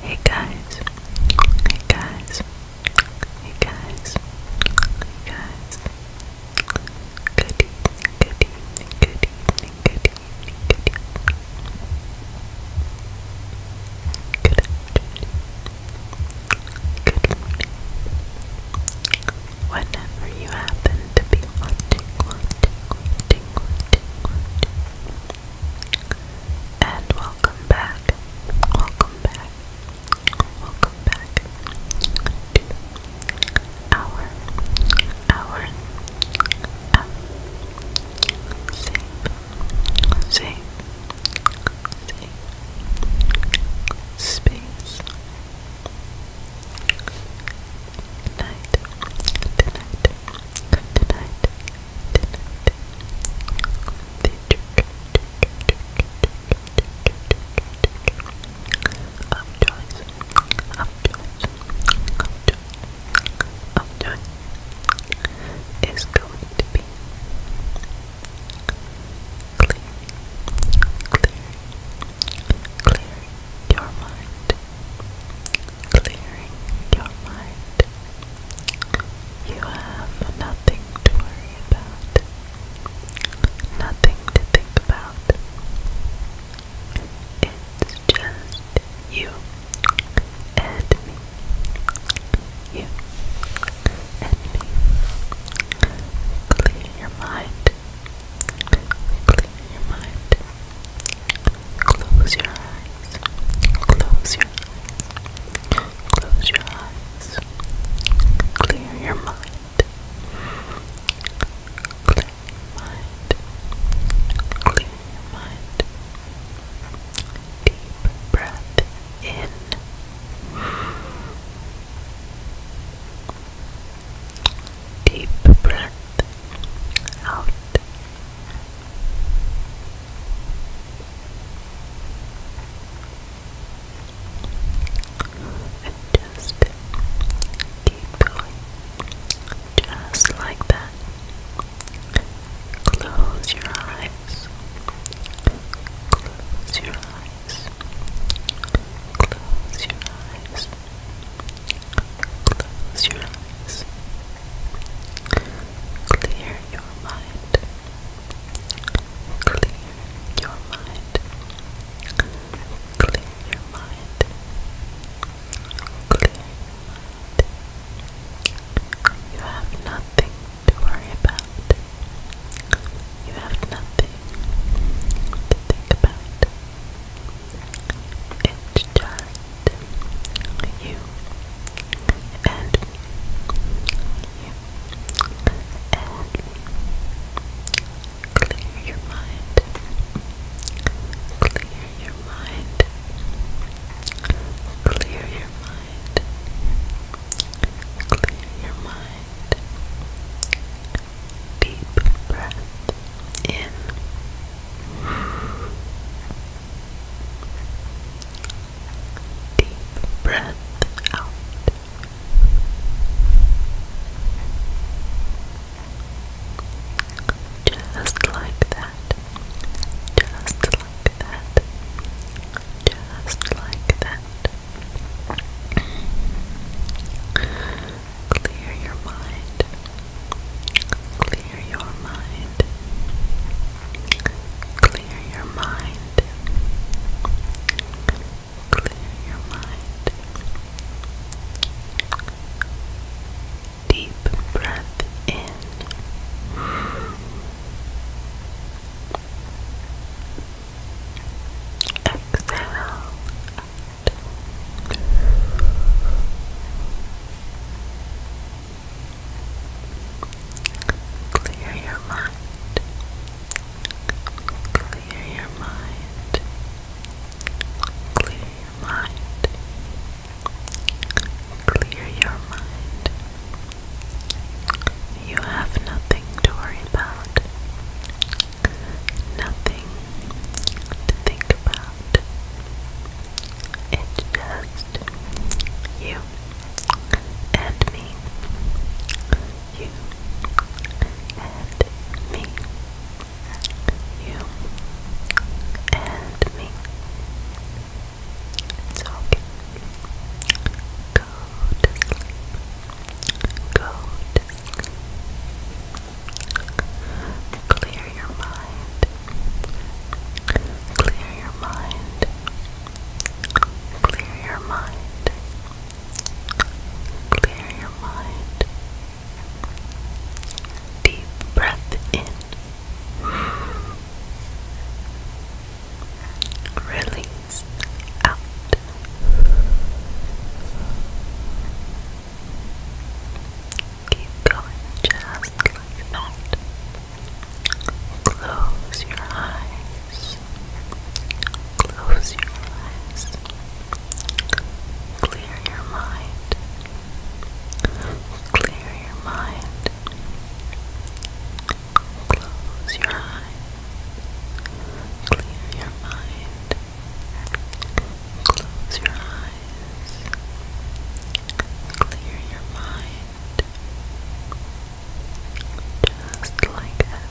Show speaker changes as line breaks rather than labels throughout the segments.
Hey guys, hey guys, hey guys, hey guys. Good evening, good evening, good good morning. Whenever you happen to be and welcome back, welcome back, welcome back to our, our, um, uh, safe, safe, space. Tonight, tonight, Good night. Up choice. Up choice. Up choice. Up going to be clear. Clear. Clear your mind clearing your mind. You have nothing to worry about, nothing to think about. It's just you and me. You and me. Clear your mind. Clear your mind. Close your eyes. Close your eyes. Close your eyes. Clear your mind. Clear mind. Clear mind. Deep breath in. Deep breath out just keep going. Just like that. Close your eyes. Close your eyes. Close your eyes. Close your eyes eyes. Clear your mind. Clear your mind. Clear your mind. Clear your mind. You have nothing to worry about. You have nothing to think about. It's just you and you and clear your mind clear your mind clear your mind clear your mind deep breath in Deep breath out. Just like that. Just like that. Just like that. Clear your mind. Clear your mind. Clear your mind. Clear your mind. Deep breath in. Exhale. Clear your mind. Clear your mind. Clear your mind. Clear your mind. You have nothing to worry about. Nothing to think about. It's just you and me. You and me. You and me. It's okay. Go to Clear Clear your mind. Clear your mind. Clear your mind. Clear your mind. Deep breath in. Release out. Keep going just like that. Close your eyes. Close your eyes. Clear your mind. Clear your mind. Close your eyes. Clear your mind. Close your eyes. Clear your mind. Just like that.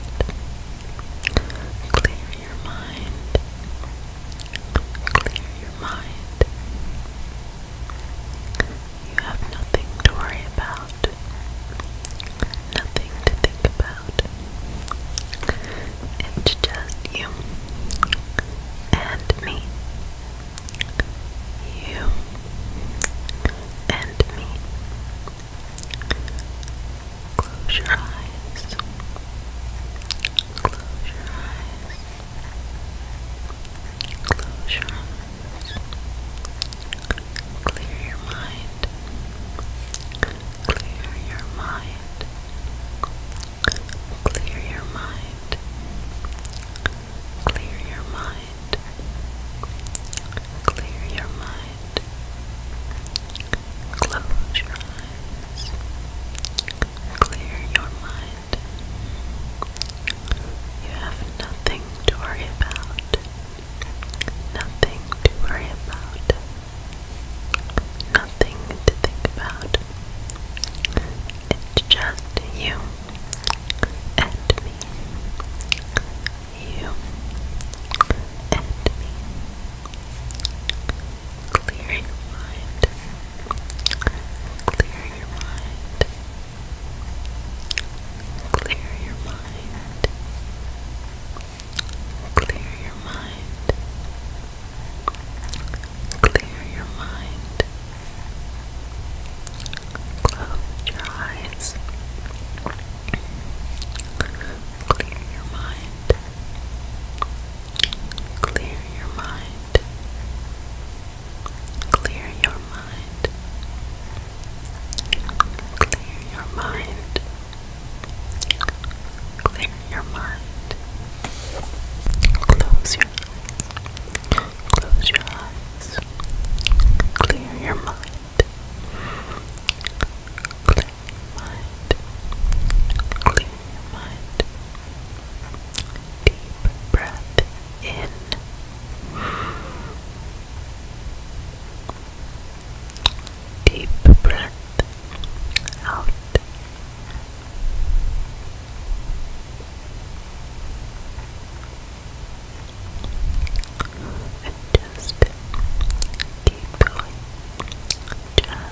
Clear your mind. Clear your mind. You have nothing to worry about. Nothing to think about. It's just you and me you and me. Close your eyes. Close your eyes. Close your eyes. Clear your mind. Clear your mind. Clear your mind. Clear your mind. Clear your mind. Close your eyes. Clear your mind. You have nothing to worry about. Nothing to worry about. Nothing to think about. It's just you and me. You and me. Clear your mind. Clear your mind. Clear your mind. Clear your mind. Clear your mind. Close your eyes. Clear your mind. Clear your mind. Clear your mind. Clear your mind. Clear your mind. Close Close your eyes. Clear your mind. Clear mind. Clear mind. Deep breath in. Deep breath out just keep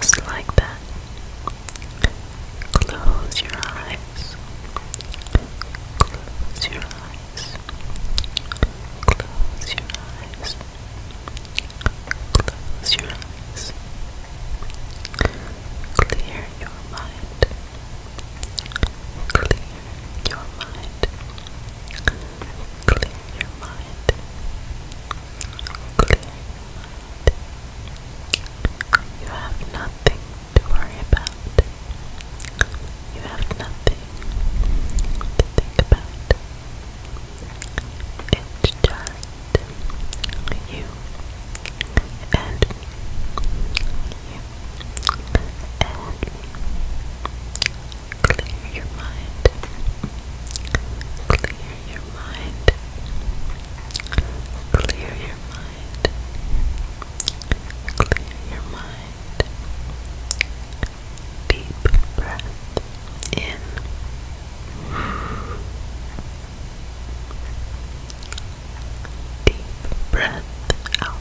Just like that. Close your eyes. Close your eyes. Close your eyes. Close your eyes. Clear your mind. Clear your mind. Clear your mind. Clear your mind.
You have nothing to worry about. You have nothing to think about. It's just you and you and clear your mind clear your mind clear your mind clear your mind deep breath in Deep breath out.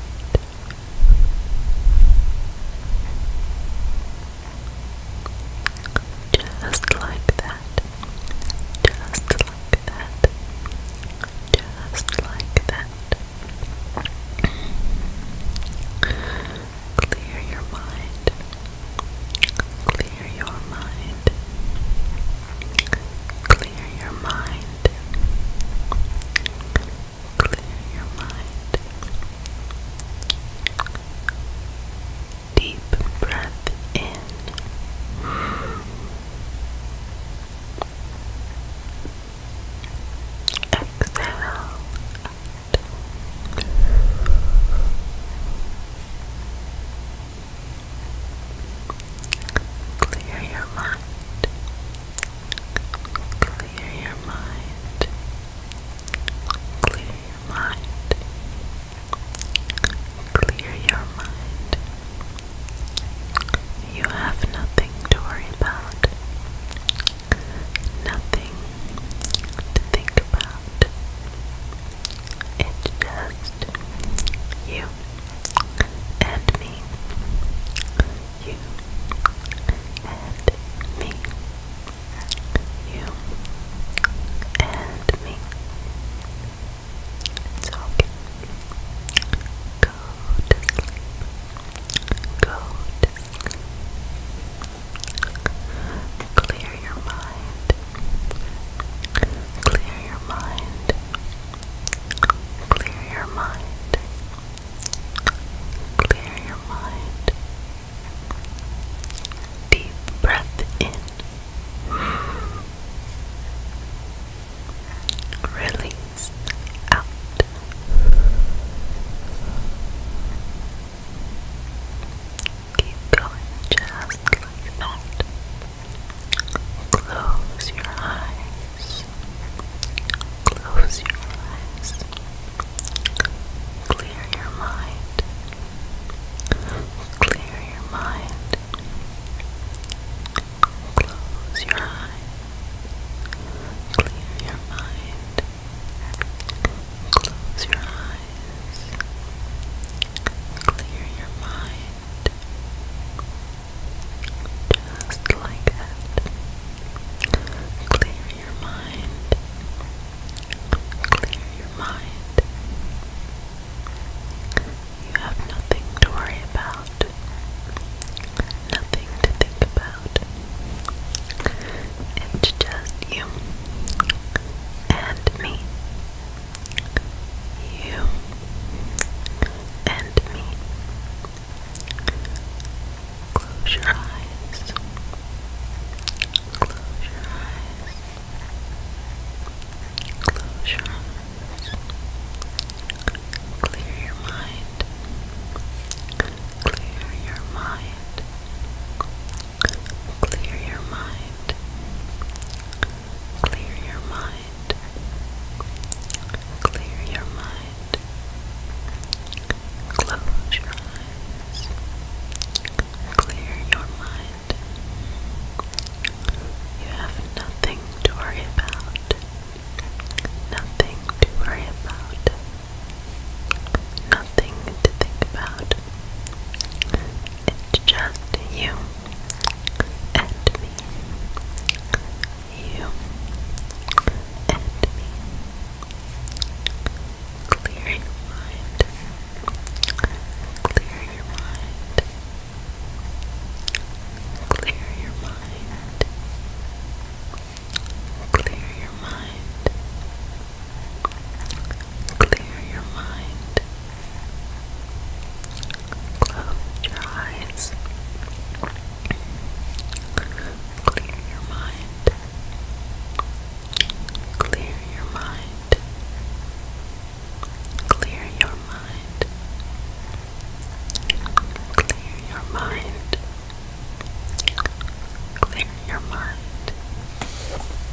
Just like that. Just like that. Just like that. Clear your mind. Clear Clear your mind. Clear your mind. Clear your mind. Deep breath in. Exhale. Clear your mind. Clear your mind. Clear your mind. Clear your mind. You have nothing to worry about. Nothing to think about. It just just you and me. You and me. You and me. It's Go Go Clear your mind. Clear your mind. Clear your mind. Clear your mind. Deep breath in. Release out. Keep going just like that. Close your eyes. Close your eyes. Clear your mind. Clear your mind. Close your eyes. Clear your mind. Close your eyes eyes, clear your mind, just like that. Clear your mind, clear your mind. You have nothing to worry about, nothing to think about. It's just you and me you and me. Close your eyes. Close your eyes. Close your eyes. Clear your mind. Clear your mind. Clear your mind. Clear your mind. Clear your mind. Close your eyes. Clear your mind. You have nothing to worry about. Nothing to worry about. Nothing to think about. It's just you and me. You and me. Clear your mind. Clear your mind. Clear your mind. Clear your mind. Clear your mind. Close your eyes. Clear your mind. Clear your mind. Clear your mind. Clear your mind. Clear your mind.